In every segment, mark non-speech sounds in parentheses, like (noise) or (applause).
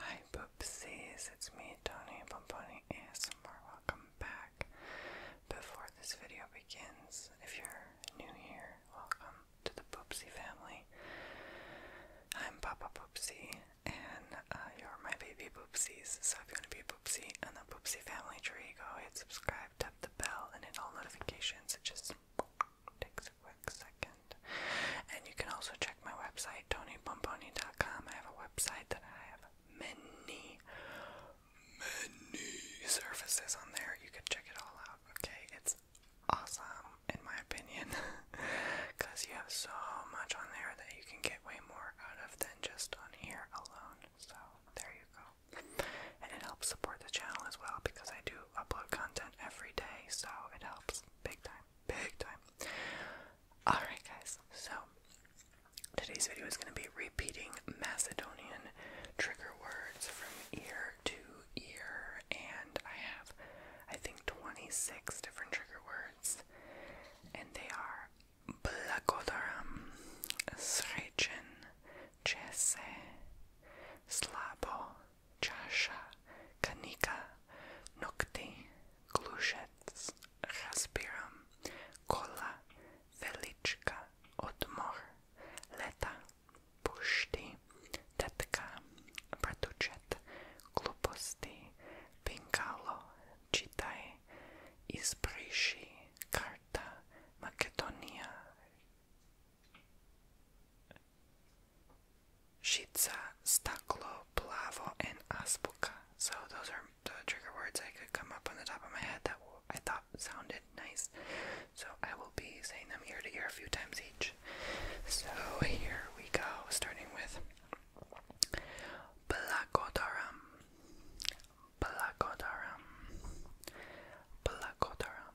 Hi Boopsies, it's me, Tony Pomponi ASMR. Welcome back. Before this video begins, if you're new here, welcome to the Boopsy family. I'm Papa Boopsy, and uh, you're my baby Boopsies. So if you want to be a in the Boopsy family tree, go uh, hit subscribe, tap the bell, and hit all notifications. just takes quick second. And you can also check my website, TonyPomponi.com. I have a website that I have many, many services on there. You can check it all out, okay? It's awesome, in my opinion, because (laughs) you have so much on there that you can get way more out of than just on here alone. So, there you go. And it helps support the channel as well because I do upload content every day, so it helps big time, big time. Alright, guys, so today's video is going to be repeating Macedonian trigger words from ear to ear, and I have, I think, 26 different trigger words, and they are Blagodaram, Srechen, Chese, Slabo, чаша, каника, ногти, глушец, разбирам, кола, величка, отмор, лета, пушти, детка, братучет, глупости, пинкало, читай, избриши, карта, Македония, Shitsa, staklo, plavo, and aspuka. So those are the trigger words I could come up on the top of my head that I thought sounded nice. So I will be saying them ear to ear a few times each. So here we go, starting with Blakodaram, Blakodaram, Blakodaram,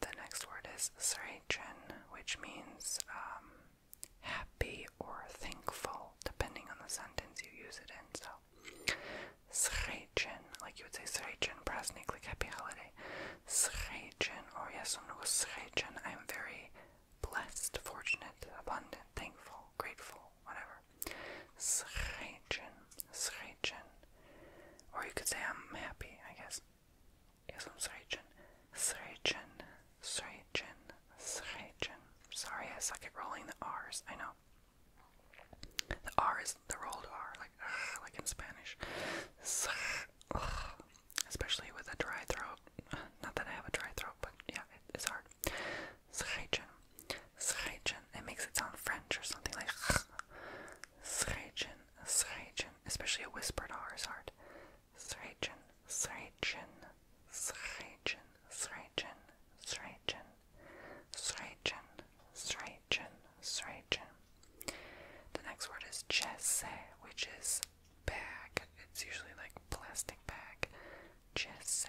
The next word is srechen, which means um, happy or thankful, depending on the sentence you use it in. So, srechen, like you would say srechen, prasnik, happy holiday. Srechen, or oh yes, srechen, I am very blessed, fortunate, abundant, thankful, grateful, whatever. Srechen, srechen. Or you could say I'm happy, I guess. Yes, I'm srejchen. Srejchen. Srejchen. Srejchen. Sorry, I suck at rolling the R's. I know. The R is the rolled R, like like in Spanish. Especially with a dry throat. (sighs) Not that I have a dry throat, but yeah, it's hard. Srejchen. Srejchen. It makes it sound French or something like Srejchen, Srejchen, especially a whispered R is hard. Srejchen, Srejchen, Srejchen, Srejchen, Srejchen, Srejchen, Srejchen, Srejchen. The next word is chesse, which is bag. It's usually like plastic bag. Chesse,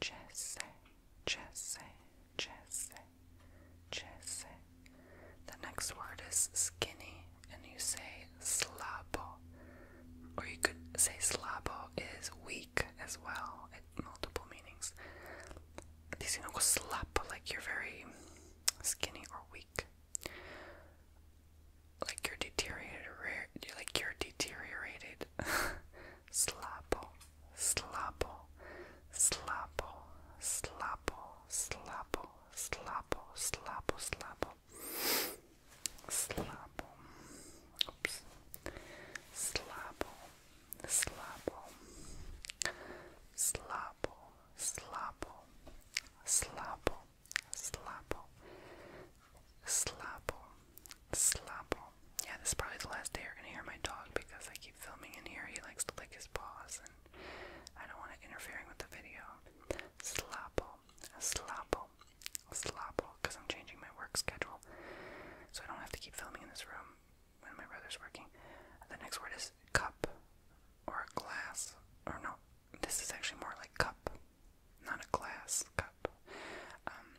Jesse, Jesse, Jesse, Jesse. The next word is skinny, and you say slabo. Or you could say slabo is weak as well, it multiple meanings. Diciendo slap, like you're very skinny or weak. Like you're deteriorated, like you're deteriorated. (laughs) slabo, slabo, slabo, slabo, slabo, slabo, slabo, slabo, slabo, oops, slabo, slabo, slabo, slabo, slabo, slabo, slabo, Slapo. Yeah, this is probably the last day you're gonna hear my dog because I keep filming in here. He likes to lick his paws, and I don't want it interfering with the video. Slapo, slapo, slapo, because I'm changing my work schedule, so I don't have to keep filming in this room when my brother's working. The next word is cup or a glass, or no, this is actually more like cup, not a glass cup. Um,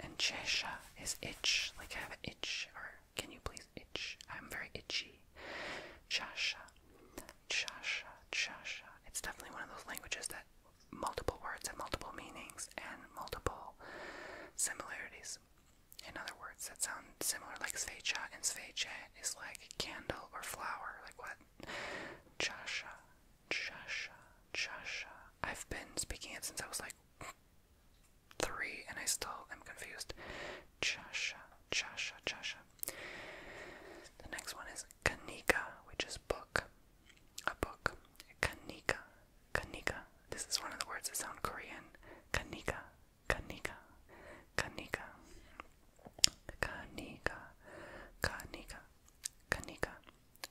And chesha is itch, like I have an itch, or can you please itch? I'm very itchy. Chasha, chasha, chasha. It's definitely one of those languages that multiple words have multiple meanings and multiple similarities. In other words, that sound similar, like svecha, and sveche is like candle or flower, like what? Chasha, chasha, chasha. I've been speaking it since I was like three, and I still am confused. Chasha, Chasha, Chasha. The next one is Kanika, which is book. A book. Kanika, Kanika. This is one of the words that sound Korean. Kanika, Kanika, Kanika, Kanika, Kanika, Kanika,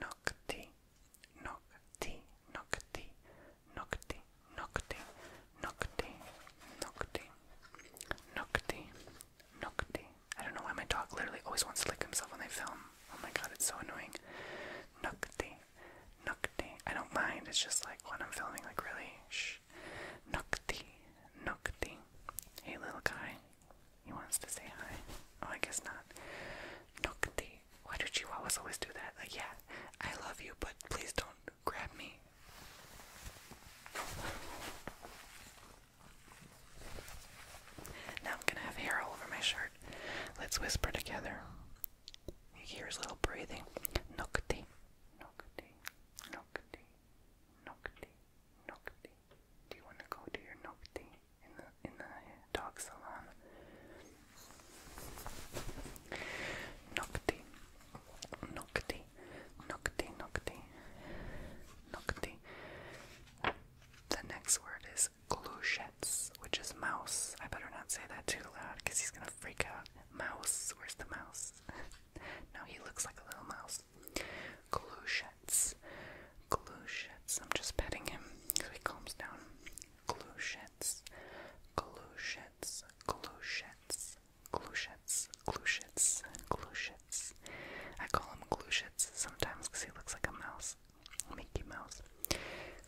nocti, nocti, nocti, nocti, nocti, nocti, nocti, nocti, nocti. I don't know why my dog literally always wants to lick himself when they film. Oh my god, it's so annoying. Nocti, nocti. I don't mind. It's just like when I'm filming, like really shh. Nocti, nocti. Hey little guy, he wants to say hi. Oh, I guess not. Nokti. Why do you always do that? Like, yeah, I love you, but please don't grab me. Now I'm gonna have hair all over my shirt. Let's whisper together. He hears little breathing. Nokti. Nokti. Nokti. Nokti. Nokti. Do you want to go do your nocti in the in the dog salon? Nocti, nocti, nocti, nocti, nocti. The next word is gluchets, which is mouse. I better not say that too loud because he's gonna freak out. Mouse, where's the mouse? (laughs) no, he looks like a little mouse balls. Glushets. Glushets. I'm just petting him so he calms down. Glushets. Glushets. Glushets. Glushets. Glushets. Glushets. I call him Glushets sometimes because he looks like a mouse. Mickey Mouse.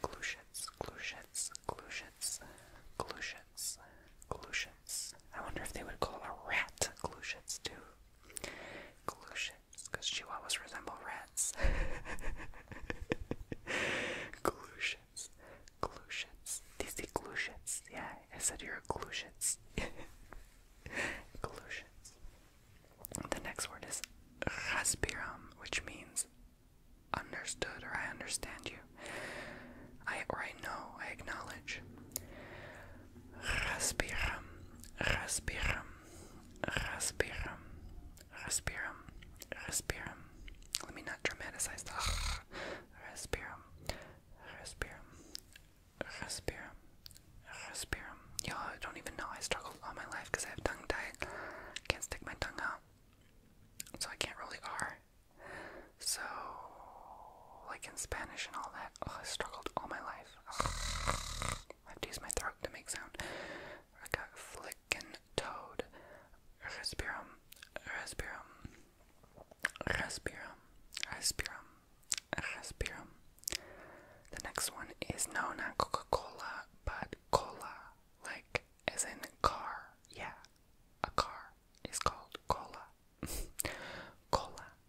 Glushets. Glushets. Glushets. Glushets. Glushets. I wonder if they would call a rat Glushets too. Glushets. Because chihuahuas resemble rats. Glushits. (laughs) Glushits. These are Yeah, I said you're a (laughs) The next word is raspiram, which means understood or I understand you. I or I know, I acknowledge. Разбирам, разбирам, разбирам, разбирам, разбирам. Let me not dramatize the Respiram, respiram, respiram, respiram. Y'all don't even know I struggled all my life because I have tongue tied. Can't stick my tongue out. So I can't really R. So, like in Spanish and all that. Oh, I struggled all my life. I have to my throat to make sound. I got flickin' toad. Respirum. Respirum. Respirum. Respirum. Respirum. The next one is no, not Coca-Cola, but cola. Like, as in car. Yeah, a car is called cola. (laughs) cola.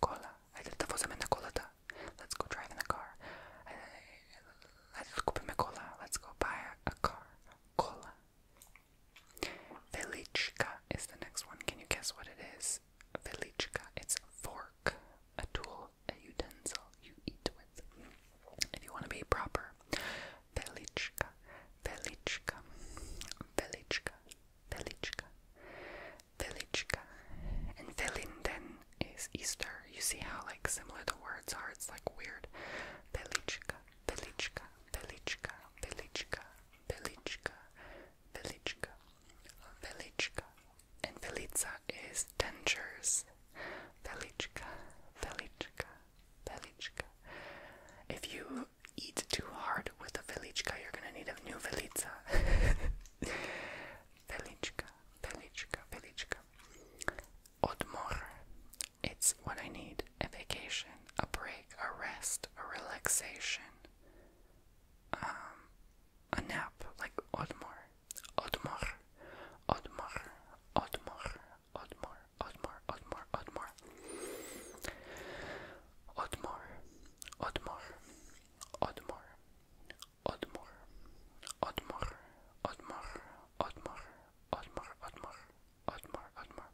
cola. I did the fosamenta colata. Let's go drive in a car. let's go my cola. Let's go buy a, car. Cola. Velichka is the next one. Can you guess what it is? Velichka. It's a fork, a tool, a utensil you eat with. If you want to be proper. Velichka. Velichka. Velichka. Velichka. Velichka. And Velinden is Easter. You see how like similar the words are? It's like weird. Velichka, Velichka, Velichka, Velichka, Velichka, Velichka, Velichka. And Velica is dentures. Velichka, Velichka, Velichka. If you eat too hard with a Velichka, you're gonna need a new Velica. (laughs) Velichka, Velichka, Velichka. Odmor. It's what I need. A vacation, a break, a rest, a relaxation. Um, a nap, like Odmor. Odmor. Odmor. Odmor. Odmor. Odmor. Odmor. Odmor. Odmor. Odmor. Odmar, Odmar, Odmar, Odmar, Odmar, Odmar, Odmar, Odmar,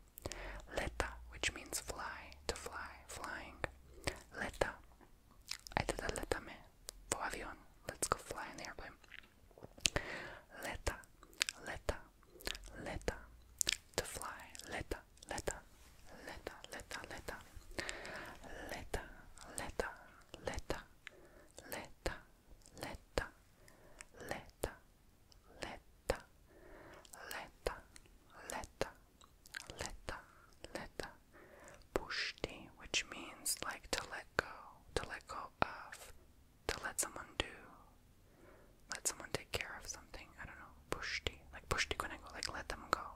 Leta, which means fly, to fly, flying. Leta. I did a letame. For avion. Let's go fly in the airplane. Leta, leta, leta, to fly, leta, leta, leta, leta, leta, leta, leta, leta, leta, leta, leta, leta, leta, leta, leta, leta, pushti, which means like to let go, to let go of, to let someone do, let someone take care of something. I don't know, pushti, like pushti kunego, like let them go,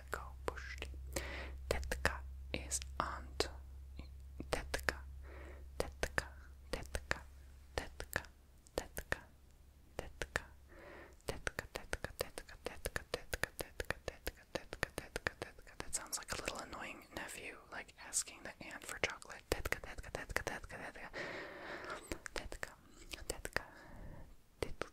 lekko puszczy. Tetka is aunt. Tetka, tetka, tetka, tetka, tetka, tetka, tetka, tetka, tetka, tetka, tetka, tetka, tetka, tetka, tetka, tetka. That sounds like a little annoying nephew, like asking the aunt for chocolate. Tetka, tetka, tetka, tetka, tetka, tetka, tetka, tetka,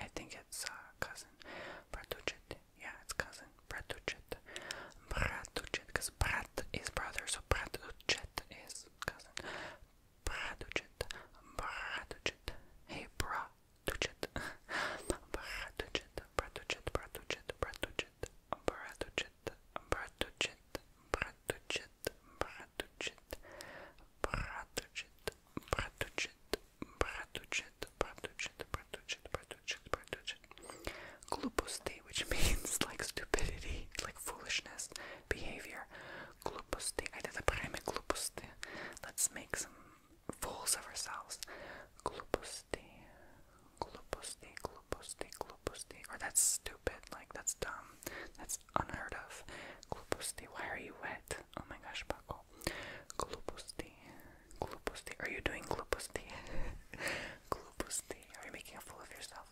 I think it's uh, cousin, Bratuchet. Yeah, it's cousin, Bratuchet. Bratuchet, because Brat is brother, so Bratuchet is cousin. Bratuchet, Bratuchet. Hey, Bratuchet. Bratuchet, Bratuchet, Bratuchet, Bratuchet, Bratuchet, Bratuchet, Bratuchet, Bratuchet, Bratuchet. Братучет, братучет, братучет, братучет, братучет, братучet. Gluposti, which means like stupidity, like foolishness, behavior. Gluposti. I did the prime gluposti. Let's make some fools of ourselves. Gluposti. Gluposti, gluposti, gluposti. Or that's stupid, like that's dumb. That's is unheard of. Glupusti, why are you wet? Oh my gosh, Paco. Glupusti, glupusti. Are you doing glupusti? (laughs) glupusti. Are you making a fool of yourself?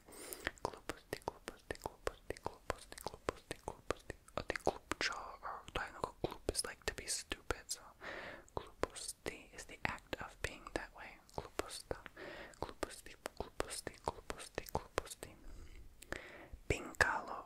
Glupusti, glupusti, glupusti, glupusti, glupusti, glupusti. I oh, think glupcha or diagonal gloop is like to be stupid, so glupusti is the act of being that way. Glupusta, glupusti, glupusti, glupusti, glupusti. Pincalo,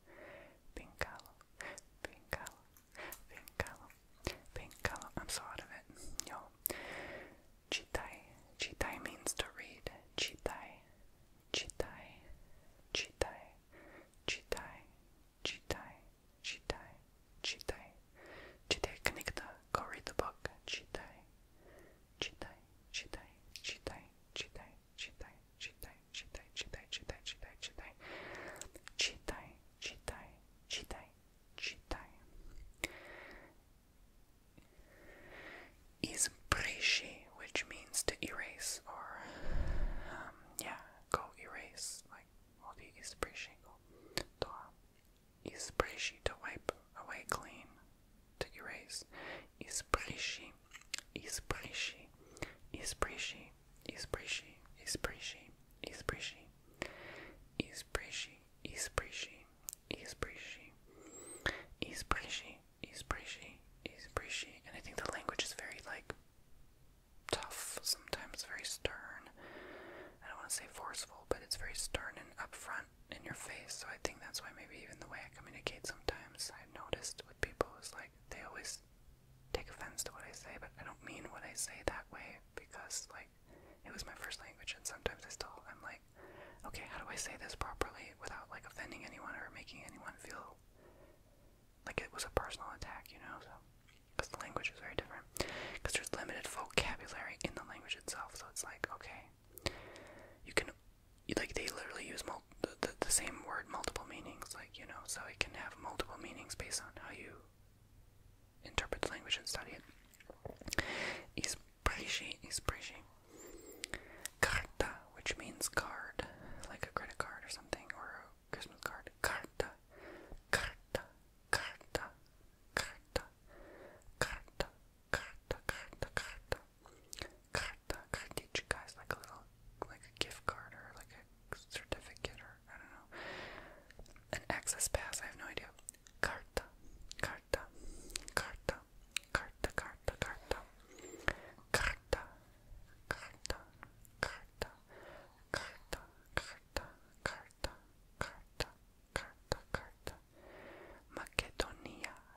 pink color, pink color, pink color, pink color. I'm so out of it, yo. Chitai, chitai means to read. Chitai, chitai, chitai, chitai, chitai, chitai, chitai, chitai. Kanikta, go read the book. Chitai, chitai, chitai, chitai, chitai czytaj, czytaj, czytaj, czytaj, czytaj, czytaj, czytaj, czytaj, czytaj, czytaj, czytaj. Is which means to erase or um, yeah, go erase. Like what is brishi go? To um, is to wipe away clean, to erase. Is Isprishi, Isprishi, Isprishi, Isprishi, Isprishi, Isprishi, Isprishi, Isprishi, Isprishi, Isprishi, Isprishi, Isprishi, and I think the language is very like tough, sometimes very stern. I don't want to say forceful, but it's very stern and upfront in your face, so I think that's why maybe even the way I communicate sometimes I've noticed with people is like they always take offense to what I say, but I don't mean what I say that way because like it was my first language and sometimes I still I'm like, okay, how do I say this properly without like offending anyone or making anyone feel like it was a personal attack, you know? So because the language is very different because there's limited vocabulary in the language itself, so it's like, okay, you can like they literally use the, the, same word multiple meanings like you know so it can have multiple meanings based on how you interpret the language and study it Ispreshi, ispreshi. Carta, which means card, like a credit card or something, or a Christmas card. Carta, carta, carta, carta, carta, carta, carta, carta, Carta, cartichka is like a little, like a gift card or like a certificate or I don't know. An access pass, I have no idea. carta, carta, carta, carta, carta. Carta, carta, carta, carta, carta, carta, carta, carta, carta. Macedonia,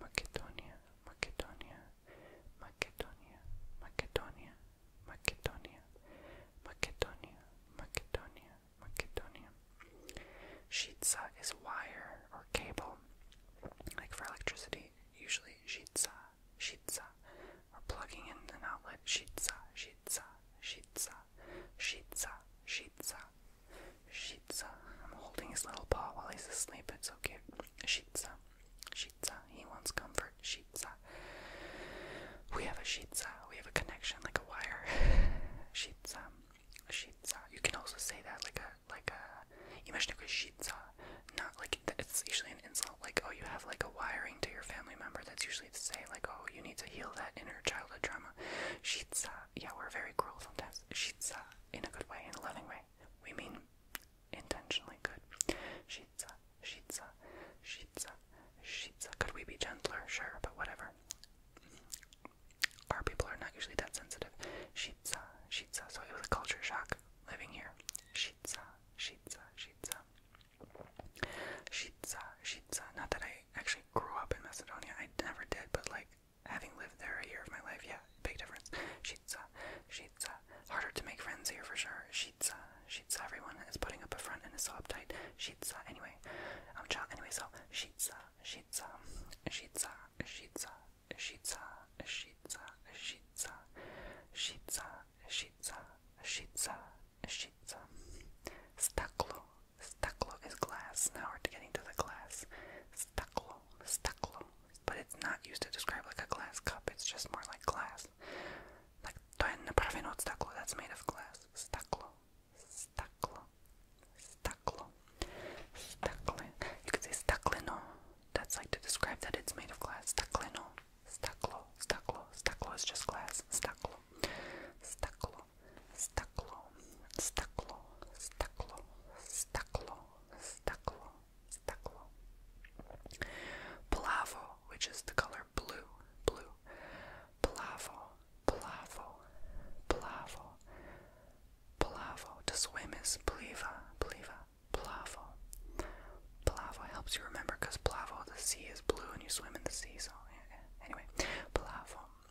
Macedonia, Macedonia, Macedonia, Macedonia, Macedonia, Macedonia, Macedonia, Macedonia. Shitsa is wire or cable. Like for electricity, usually shitsa, shitsa. Or plugging in an outlet, shitsa, shitsa, shitsa, shitsa, shitsa. Shitsa. I'm holding his little paw while he's asleep. It's so cute. Shitsa. Shitsa. He wants comfort. Shitsa. We have a shitsa. We have a connection like a wire. (sighs) shitsa. Shitsa. You can also say that like a like a. Imagine a shitsa. Not like it's usually an insult. Like oh, you have like a wiring to your family member. That's usually to say like oh, you need to heal that inner childhood trauma. Shitsa uh, yeah, we're very cruel sometimes. Shitsa, uh, in a good way, in a loving way. We mean intentionally good. Shitsa, uh, shitsa, uh, shitsa, shitsa. Could we be gentler? Sure, but whatever. Our people are not usually that sensitive. Shitsa, shitsa. So it was a culture shock living here. Shitsa, shitsa, shitsa. Shitsa, shitsa. Not that I actually grew up in Macedonia, I never did, but like having lived there a year of my life, yeah, big difference. Shitsa, shitsa. Harder to make friends here for sure. Shitsa, shitsa. Everyone is putting up a front and is so uptight. Shitsa. Anyway, um, child. Anyway, so shitsa, shitsa, shitsa, shitsa, shitsa, shitsa, shitsa, shitsa, shitsa, shitsa, shitsa. Staklo, Stuclo is glass. Now we're getting to the glass. Stuclo, stuclo. But it's not used to describe like a glass cup, it's just more like glass. Like, to je napraveno od staklo, that's made of glass. Staklo, staklo, staklo, stakle. You could say staklino. That's like to describe that it's made of glass. Staklino, staklo, staklo, staklo is just glass. Staklo, staklo, стекло, стекло, стекло, стекло, стекло, стекло. Plavo, which is the color blue, blue. Plavo, plavo, plavo, plavo. To swim is pliva, pliva, plavo. Plavo helps you remember because plavo, the sea is blue and you swim in the sea, so yeah, yeah. anyway, plavo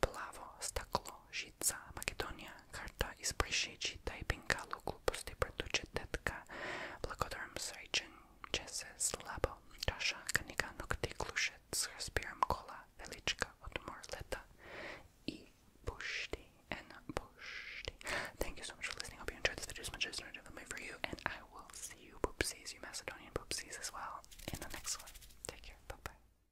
plavo, staklo, žica, Makedonija, karta, izbrišići, taj pinkalu, gluposti, pretuče, tetka, blagodarom, srećen, čese, slabo, čaša, kanika, nokti, klušec, razbiram kola, velička, odmor, leta i pušti, and pušti. Thank you so much for listening. I hope you enjoyed this video as much as I did for you, and I will see you, poopsies, you Macedonian poopsies as well, in the next one. Take care. Bye-bye.